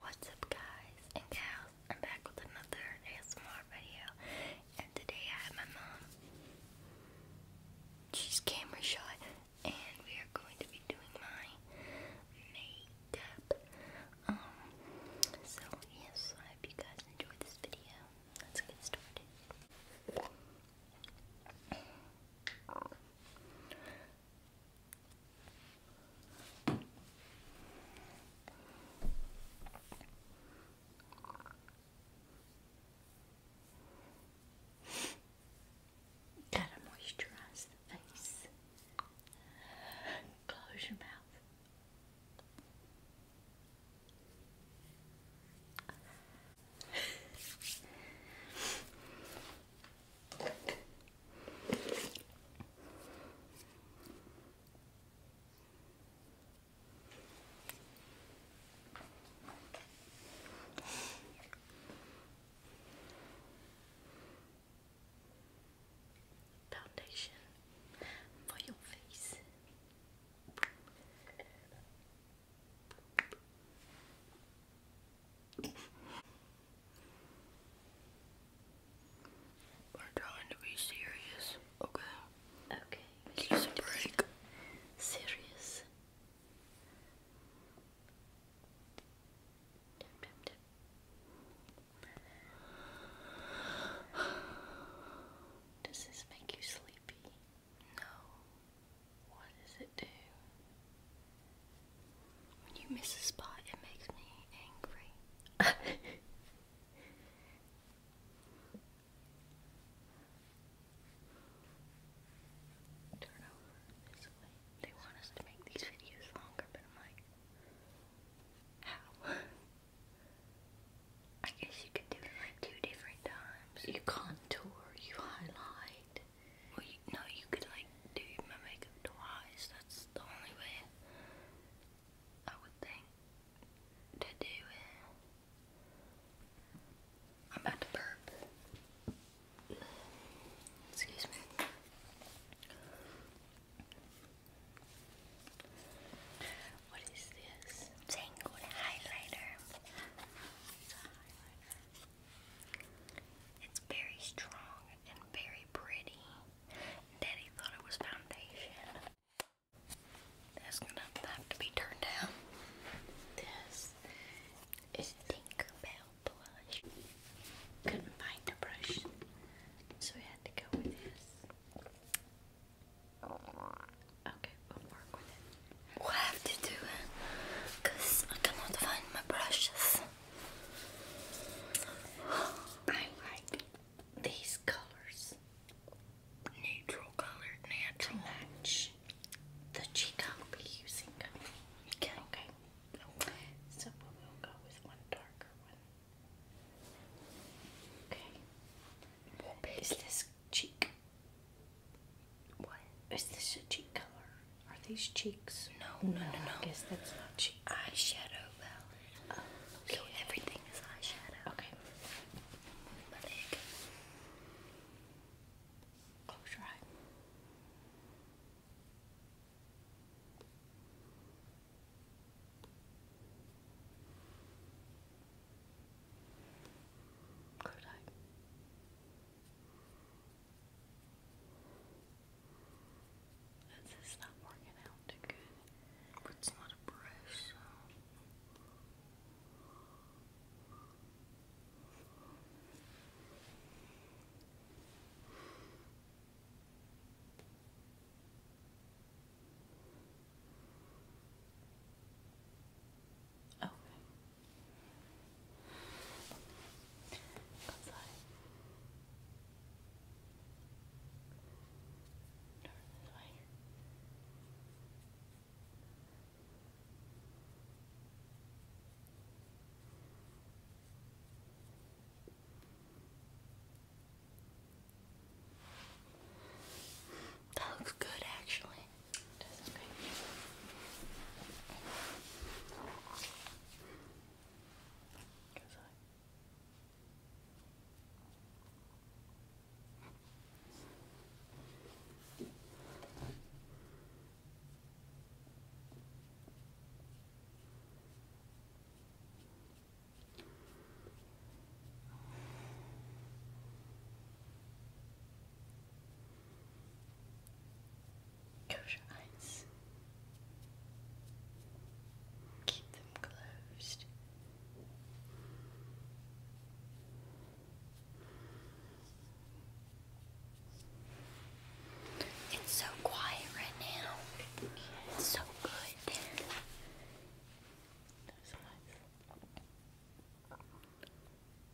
What's up guys and gals, I'm back with another ASMR video and today I have my mom, she's camera shy and we are going to be doing my makeup, um, so yes, I hope you guys enjoyed this video, let's get started. Gotta moisturize the face. Close your mouth. Foundation for your face. We're trying to be serious, okay? Okay. break. Serious. Does this make you sleepy? No. What does it do? When you miss a spot, it makes me angry. Turn over this way. They want us to make these videos longer, but I'm like, how? I guess you could do it like two different times. You contour, you highlight no, you could like do my makeup twice. That's the only way I would think to do it. I'm about to burp. Excuse me. What is this? Tangled highlighter. It's very strong and very pretty. Daddy thought it was foundation. That's gonna have to be turned down. This is Tinkerbell blush. Couldn't find the brush, so we had to go with this. Okay, we'll work with it. We'll have to do it, because I cannot find my brushes. I like these colors. Neutral color, natural. match the cheek I'll be using. Okay. So we'll go with one darker one. Okay. Is cheek? What? Is this a cheek color? Are these cheeks? No, no, no, no. I guess that's not cheek. Eyeshadow palette. Oh, okay. So everything is eyeshadow. Okay. Move my leg. Close your eye. Close eye. This is not working out too good. it's not a brush, Okay. That looks good actually. That's okay. Good side. Good. Close your eyes. Keep them closed. It's so quiet right now. so good there. Those eyes.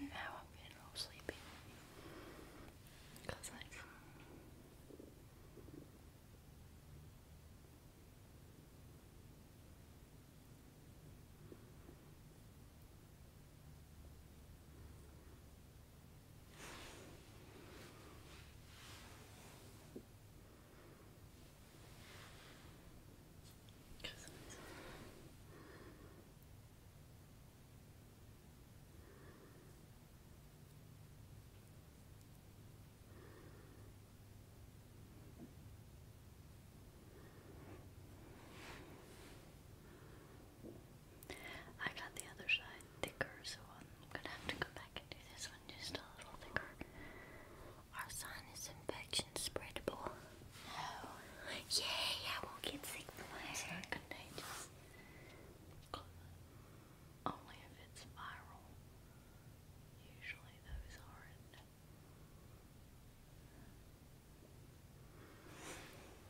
Now I'm getting sleepy. Cause like Cousins. I got the other side thicker, so I'm gonna have to go back I can Our sinus infection spreadable. No. Oh. Yay, I won't get sick It's not contagious. Only if it's viral. Usually those aren't.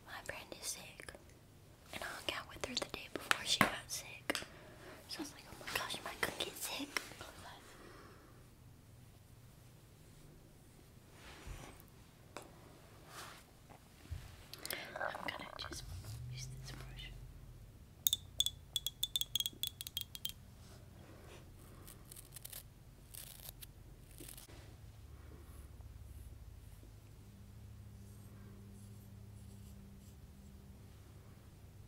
My friend is sick. And I hung out with her the day before she got sick. So I was like, oh my gosh, am I going get sick? I'm gonna just use this brush.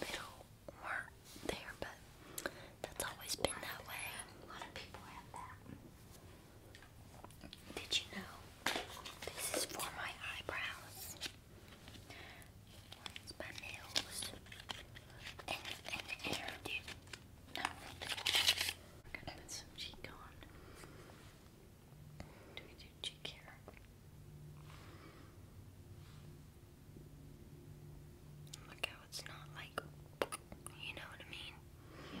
They don't there, but that's always been that way. Did you know this is for my eyebrows? my nails, gonna put some cheek on. Do we do cheek hair? Look how it's not like, you know what I mean? Yeah.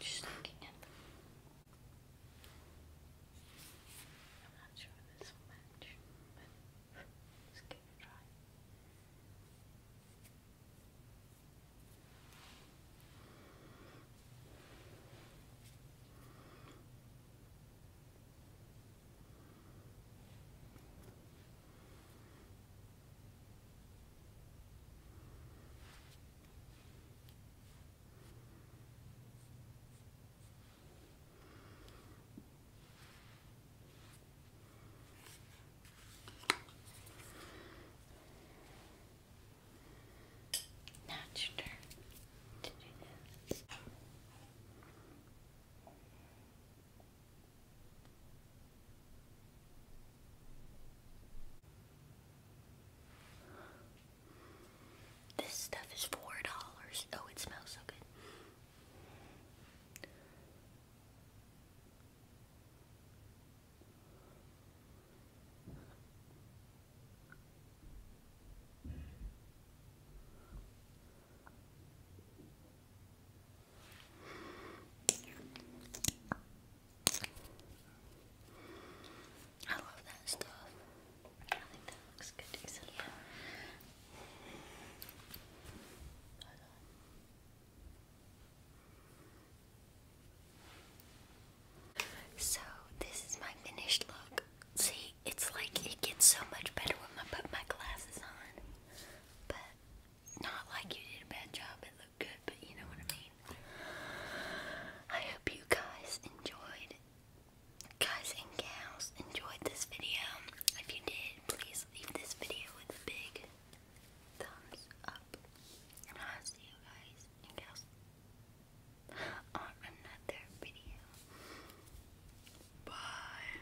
She's looking at them. I'm not sure this will match, but let's give it a try. Now it's your turn to do this. This stuff is four dollars. Oh, it smells so good. I love that stuff. I think that looks good So this is my finished look. See, it's like it gets so much better when I put my glasses on. But not like you did a bad job, it looked good, but you know what I mean. I hope you guys enjoyed, guys and gals, enjoyed this video. If you did, please leave this video with a big thumbs up. I'll see you guys and gals on another video. Bye.